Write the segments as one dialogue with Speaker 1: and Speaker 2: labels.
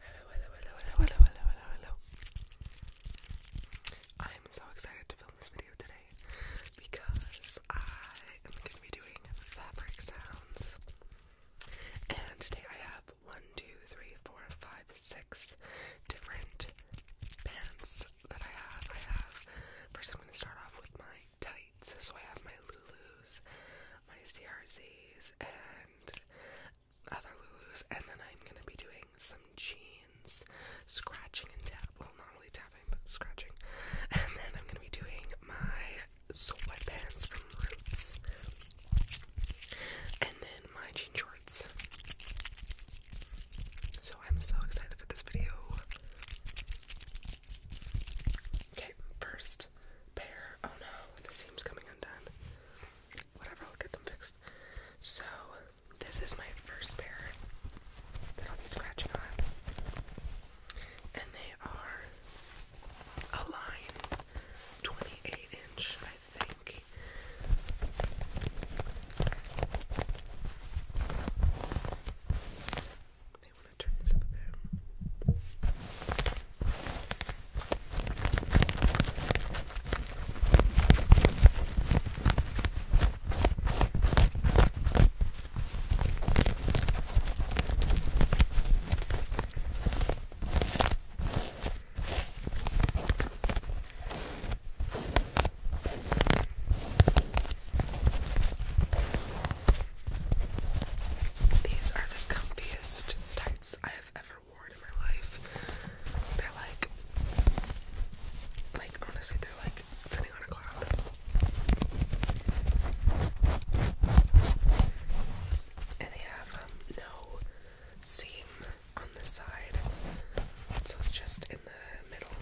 Speaker 1: Hello, hello, hello, hello, hello, hello, hello, I am so excited to film this video today because I am going to be doing fabric sounds. And today I have one, two, three, four, five, six different pants that I have, first I'm going to start off with my tights. So I have my Lulus, my CRZs, and other Lulus. And then I'm going to be doing some jeans, scratching and tapping. Well, not really tapping, but scratching. And then I'm going to be doing my sweatpants from Roots. And then my jean shorts. So I'm so excited for this video. Okay, first pair. Oh no, the seam's coming undone. Whatever, I'll get them fixed. So, this is my first pair that I'll be scratching on. And they are a line 28 inch, I think may want to turn this up a bit. Okay, these are the comfiest tights I have ever worn in my life. They're like, like honestly, they're like sitting on a cloud. And they have um, no seam on the side, so it's just in the middle.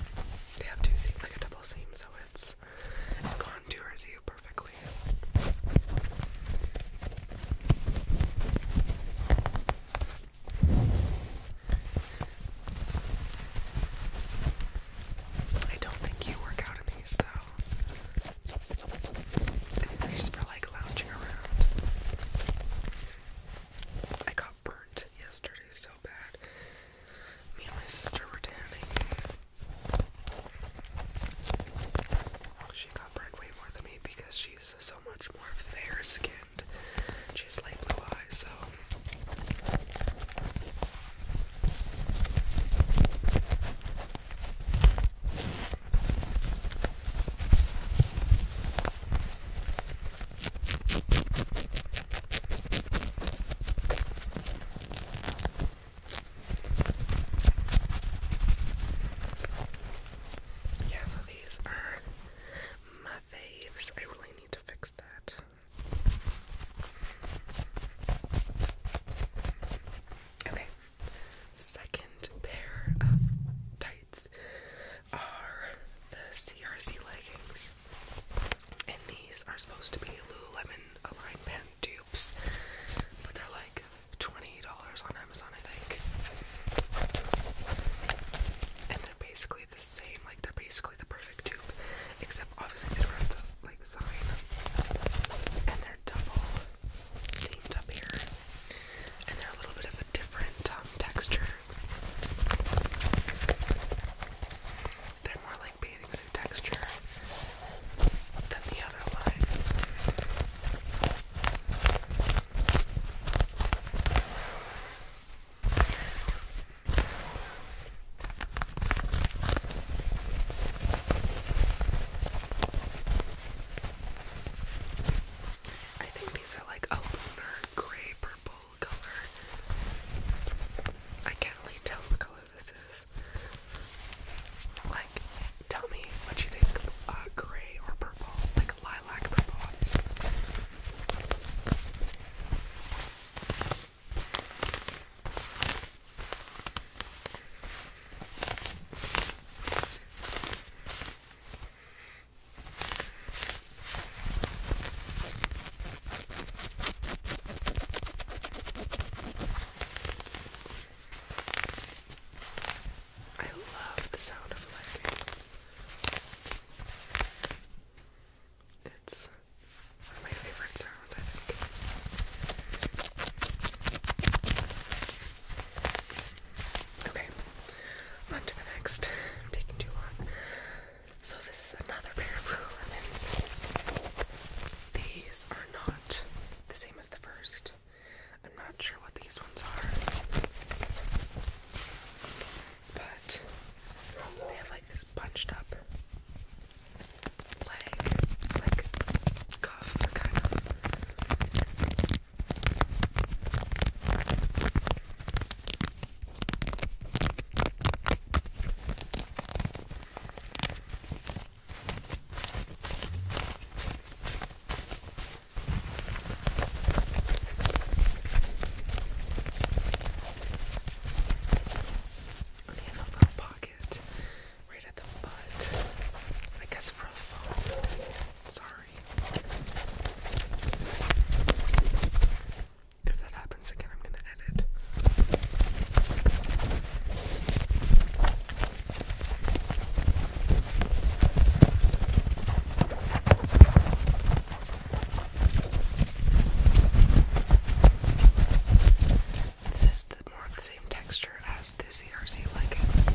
Speaker 1: They have two seams, like a double seam, so highlights and contours you perfectly. I don't think you work out in these though. just for like lounging around. I got burnt yesterday so bad. Me and my sister were tanning. She got burned way more than me because she's so much more fair skinned. She light blue eyes, so. Yeah, so these are my faves. I really need to fix that. Okay, second pair of tights are the CRC leggings. And these are supposed to be Lululemon Align Pant dupes, but they're like $20 on Amazon, I think. And they're basically the same, like they're basically the perfect tube, except obviously they don't have the like sign. And they're double seamed up here. And they're a little bit of a different um, texture they're more like bathing suit texture than the other lines. I think these are like a lunar grape purple color. I can't really tell what color this is. Like, tell me what you think. gray or purple? Like lilac purple, I love the sound of leggings. It's my favorite sounds, Okay, on to the next. I'm taking too long. So, this is another pair of Lululemons. These are not the same as the first. I'm not sure what these ones are. But they have like this bunched up leg, like cuff kind of. Okay, a little pocket right at the butt. I guess for a phone. Sorry. If that happens again, I'm gonna edit. This is the more texture as the CRC leggings.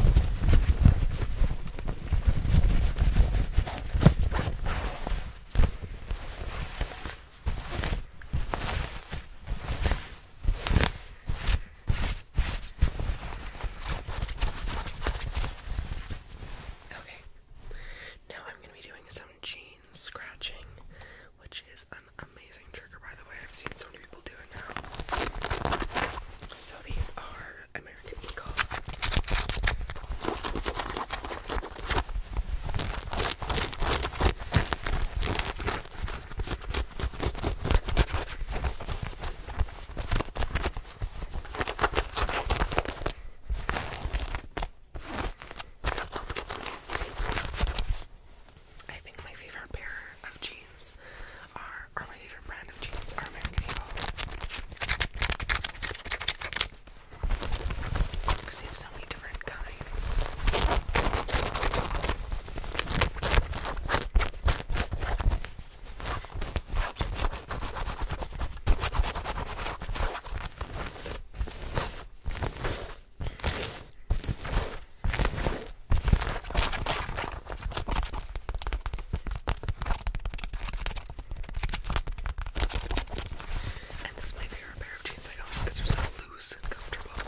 Speaker 1: Okay, now I'm going to be doing some jeans scratching, which is an amazing trigger, by the way. I've seen so many people do it So these are American Eagle. I think my favorite pair of jeans are, or my favorite brand of jeans are American Eagle. Because they have so many different kinds. And this is my favorite pair of jeans I own because they're so loose and comfortable.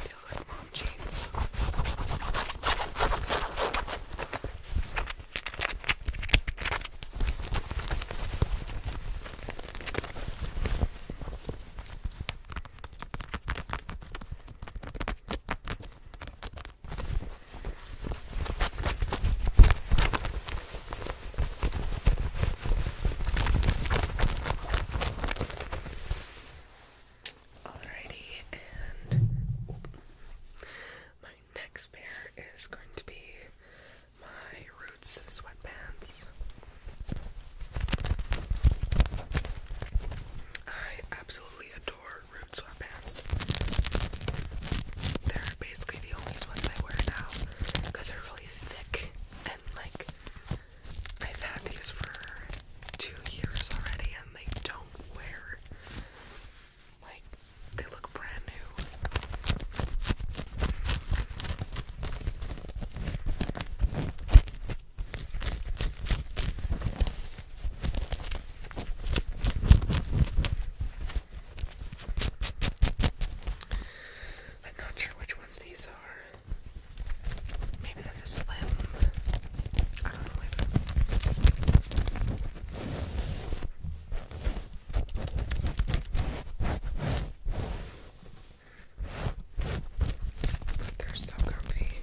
Speaker 1: They look like mom jeans. Alrighty, and my next pair is going to be my Roots sweatpants. I absolutely adore Roots sweatpants. They're basically the only ones I wear now because they're really thick and like I've had these for two years already and they don't wear. Like they look brand new. I'm not sure which ones these are. Maybe they're the slim. I don't know. They're so comfy.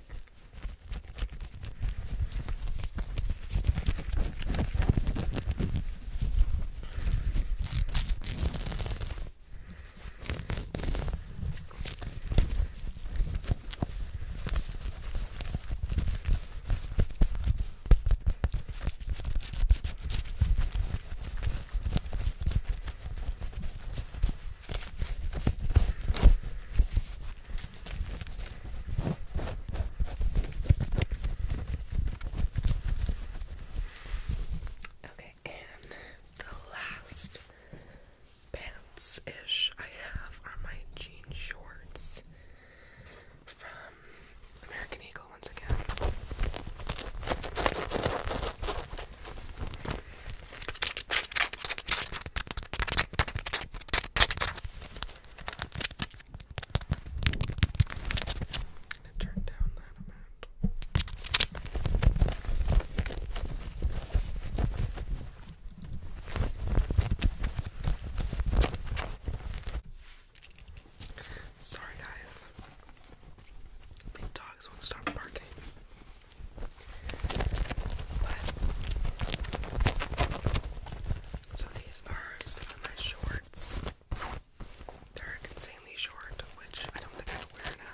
Speaker 1: Okay, and the last pants ish I have are my jean shorts from American Eagle once again. gonna turn down that amount. Sorry, guys. My dogs won't stop barking. so these are some of my shorts. They're insanely short, which I don't think I wear now.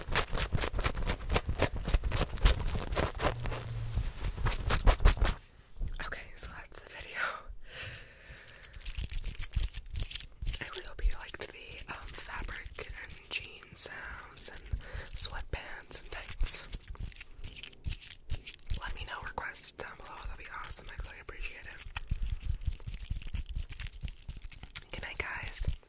Speaker 1: Okay, so that's the video. I really hope you liked the um, fabric and jean sounds and sweatpants and tights. Let me know requests down below. That'd be awesome. i really appreciate it. Good night, guys.